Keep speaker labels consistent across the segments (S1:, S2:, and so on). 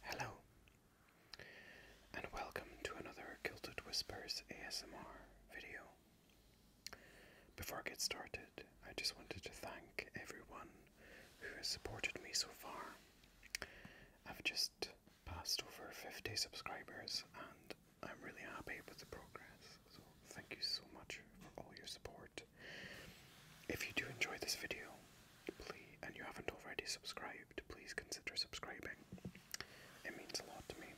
S1: Hello, and welcome to another Kilted Whispers ASMR video. Before I get started, I just wanted to thank everyone who has supported me so far. I've just passed over 50 subscribers and I'm really happy with the progress. So thank you so much for all your support. If you do enjoy this video, please and you haven't already subscribed, please consider subscribing. It means a lot to me.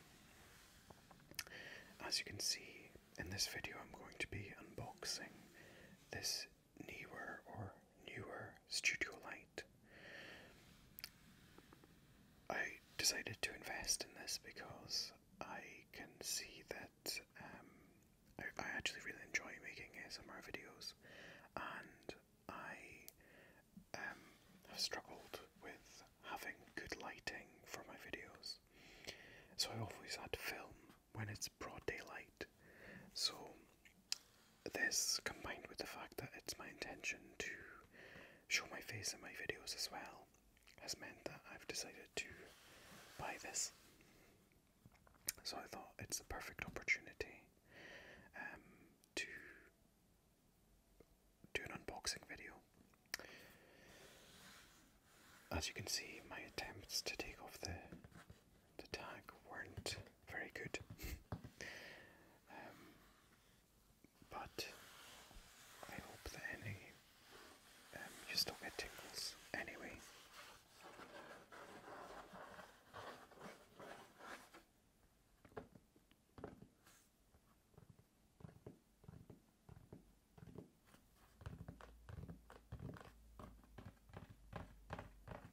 S1: As you can see in this video I'm going to be unboxing this newer or newer studio light. I decided to invest in this because I can see that um, I, I actually really enjoy making ASMR videos and I um, have struggled with having good lighting for my videos. So I always had to film when it's broad daylight. So this combined with the fact that it's my intention to show my face in my videos as well has meant that I've decided to buy this. So I thought it's the perfect opportunity um, to do an unboxing video. As you can see, my attempts to take off the the tag weren't very good. Um, but I hope that any um, you still get tingles anyway.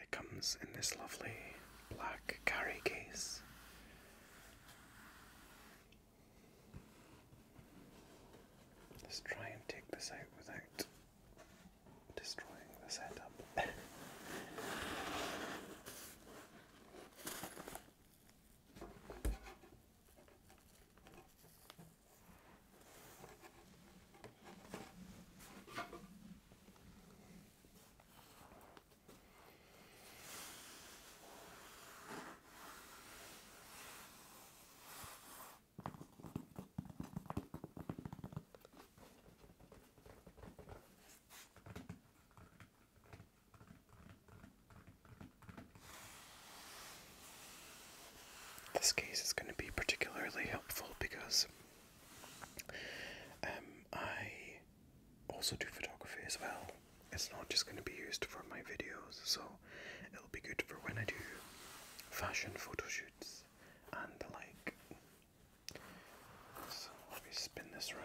S1: it comes in this lovely black carry case. Let's try and take this out without destroying the setup. This case is going to be particularly helpful because um, I also do photography as well, it's not just going to be used for my videos, so it'll be good for when I do fashion photo shoots and the like. So let me spin this round.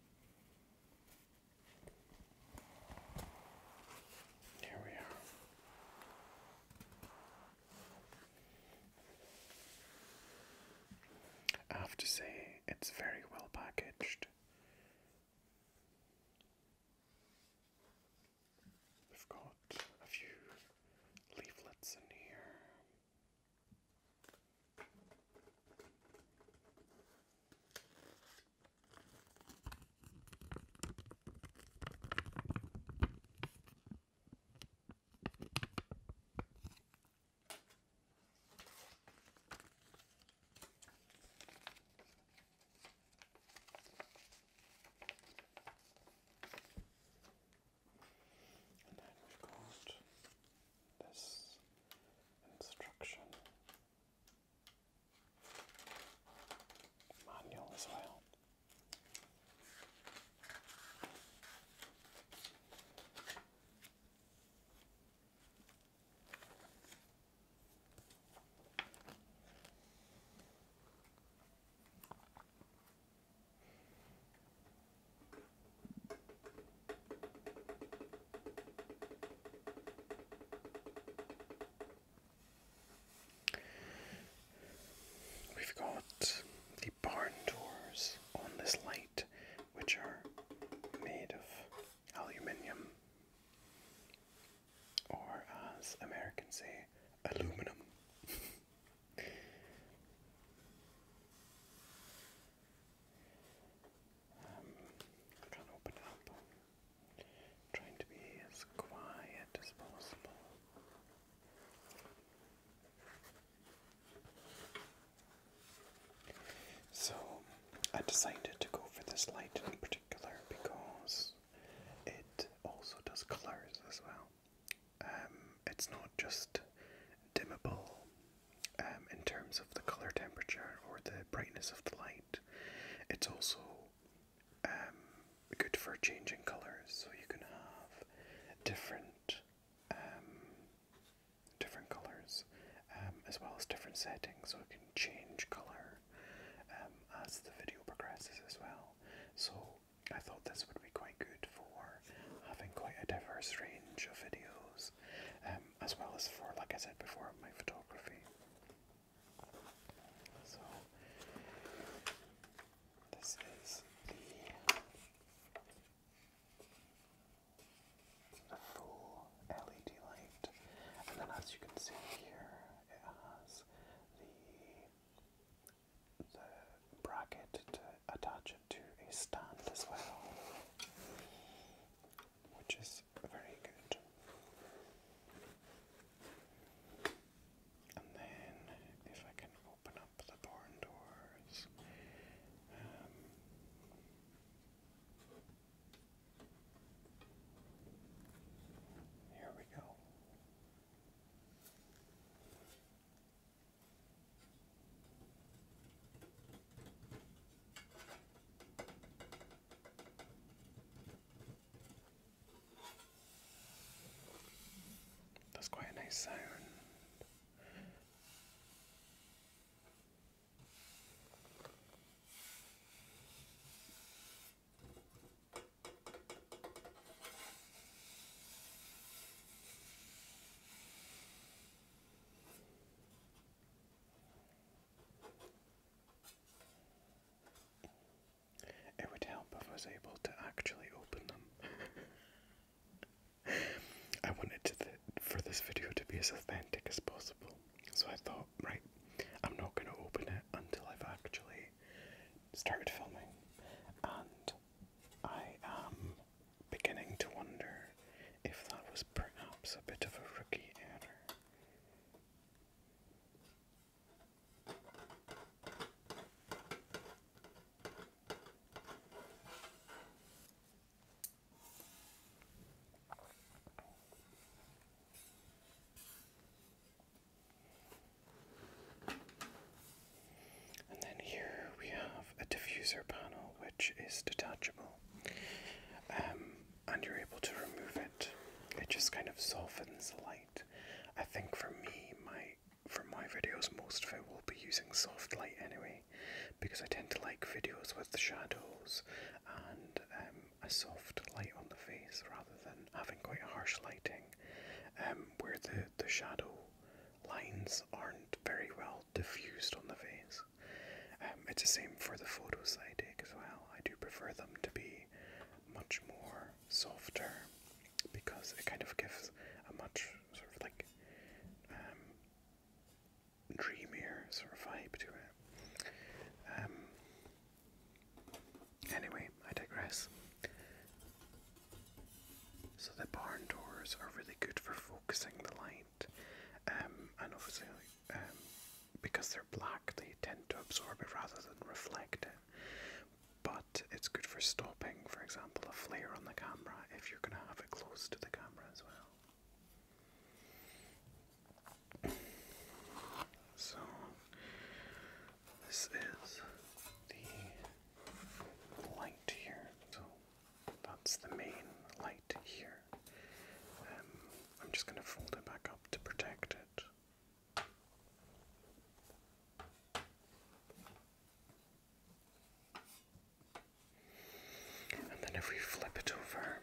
S1: Here we are. I have to say, it's very well packaged. We've got a few leaflets in here. And then we've got this instruction manual as well. We've got the barn doors on this light, which are made of aluminium, or as Americans say, aluminum. I trying to be as quiet as possible. So, I decided to go for this light in particular because it also does colours as well. Um, it's not just dimmable um, in terms of the color temperature or the brightness of the light. It's also um, good for changing colors, so you can have different um, different colors as well as different settings, so it can change color as the video progresses as well. So I thought this would be quite good for having quite a diverse range of videos, um, as well as for, like I said before, my photography. So, this is the full LED light, and then as you can see here, it has the the bracket to attach it to a stand as well, which is very good. And then, if I can open up the barn doors, um, here we go. That's quite a nice sound. It would help if I was able to actually open them. I wanted for this video to be as authentic as possible, so I thought, right, I'm not going to open it until I've actually started filming, and I am um, beginning to wonder if that was perhaps a bit of a rookie error. And then here we have a diffuser panel which is detachable. Um, and you're able to remove it. It just kind of softens the light. I think for me, my for my videos, most of it will be using soft light anyway, because I tend to like videos with the shadows and um, a soft light on the face rather than having quite harsh lighting, um, where the the shadow lines aren't very well diffused on the face. Um, it's the same for the photos I take as well. I do prefer them to be much more softer because it kind of gives a much sort of like um, dreamier sort of vibe to it. Um, anyway, I digress. So the barn doors are really good for focusing the light, um, and obviously um, because they're black, they tend to absorb it rather than reflect it. But it's good for stopping, for example, a flare on the camera if you're going to have it close to the camera as well. So this is the light here. So that's the main light here. Um, I'm just going to fold it back up to protect it. And then if we flip it over,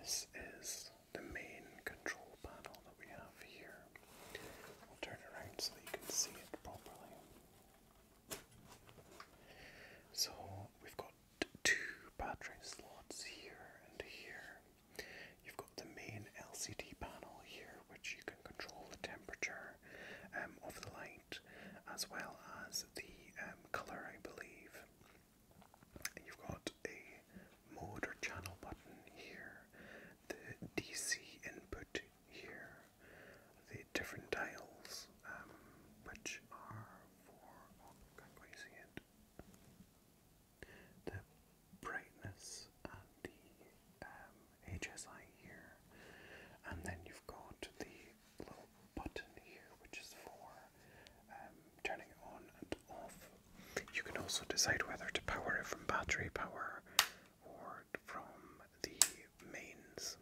S1: this is the main control panel that we have here. I'll turn around so you can see it properly. So we've got two battery slots here and here. You've got the main LCD panel here, which you can control the temperature um, of the light as well as the um, colour, I believe. you've got a mode or channel button here, the DC input here, the different dials um, which are for, oh, I can't the brightness and the um, HSI here, and then you've got the little button here which is for um, turning it on and off you can also decide whether to power it from battery power or from the mains.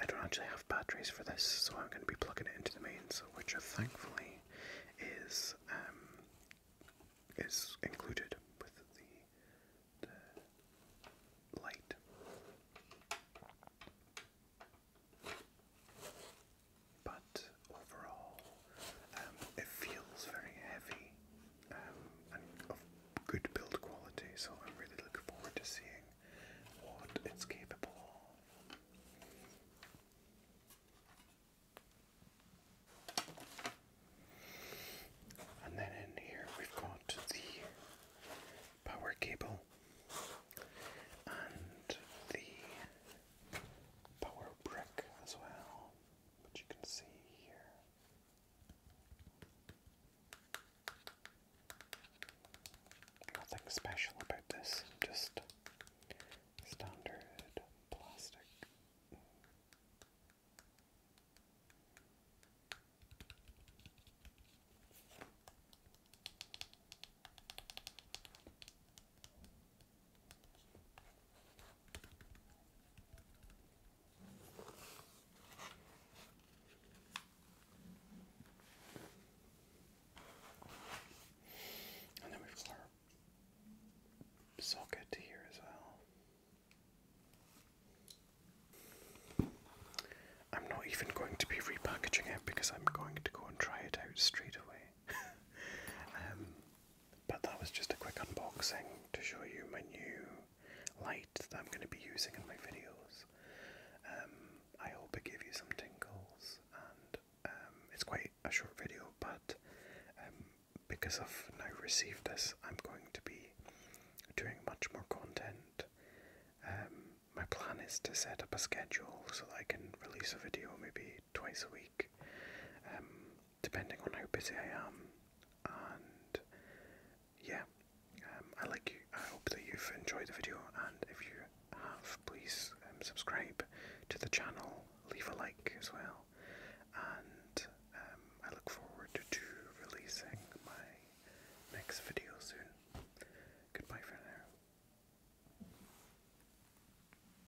S1: I don't actually have batteries for this, so I'm going to be plugging it into the mains, which thankfully is um, is included with the, the light overall, um, it feels very heavy um, and of good build quality. So I'm really looking forward to seeing what it's capable of. And then in here we've got the power cable and the power brick as well but you can see here. Nothing special about this, just standard plastic. And then we've got our socket here as well. I'm not even going to be repackaging it because I'm going to go and try it out straight away. Um, but that was just a quick unboxing to show you my new light that I'm going to be using in my videos. Um, I hope it gives you some tingles, and um, it's quite a short video, but um, because I've now received this, I'm going to be doing much more content. my plan is to set up a schedule so that I can release a video maybe twice a week, um, depending on how busy I am. And yeah, um, I like you. I hope that you've enjoyed the video, and if you have, please um, subscribe to the channel, leave a like as well, and I look forward to releasing my next video soon. Goodbye for now.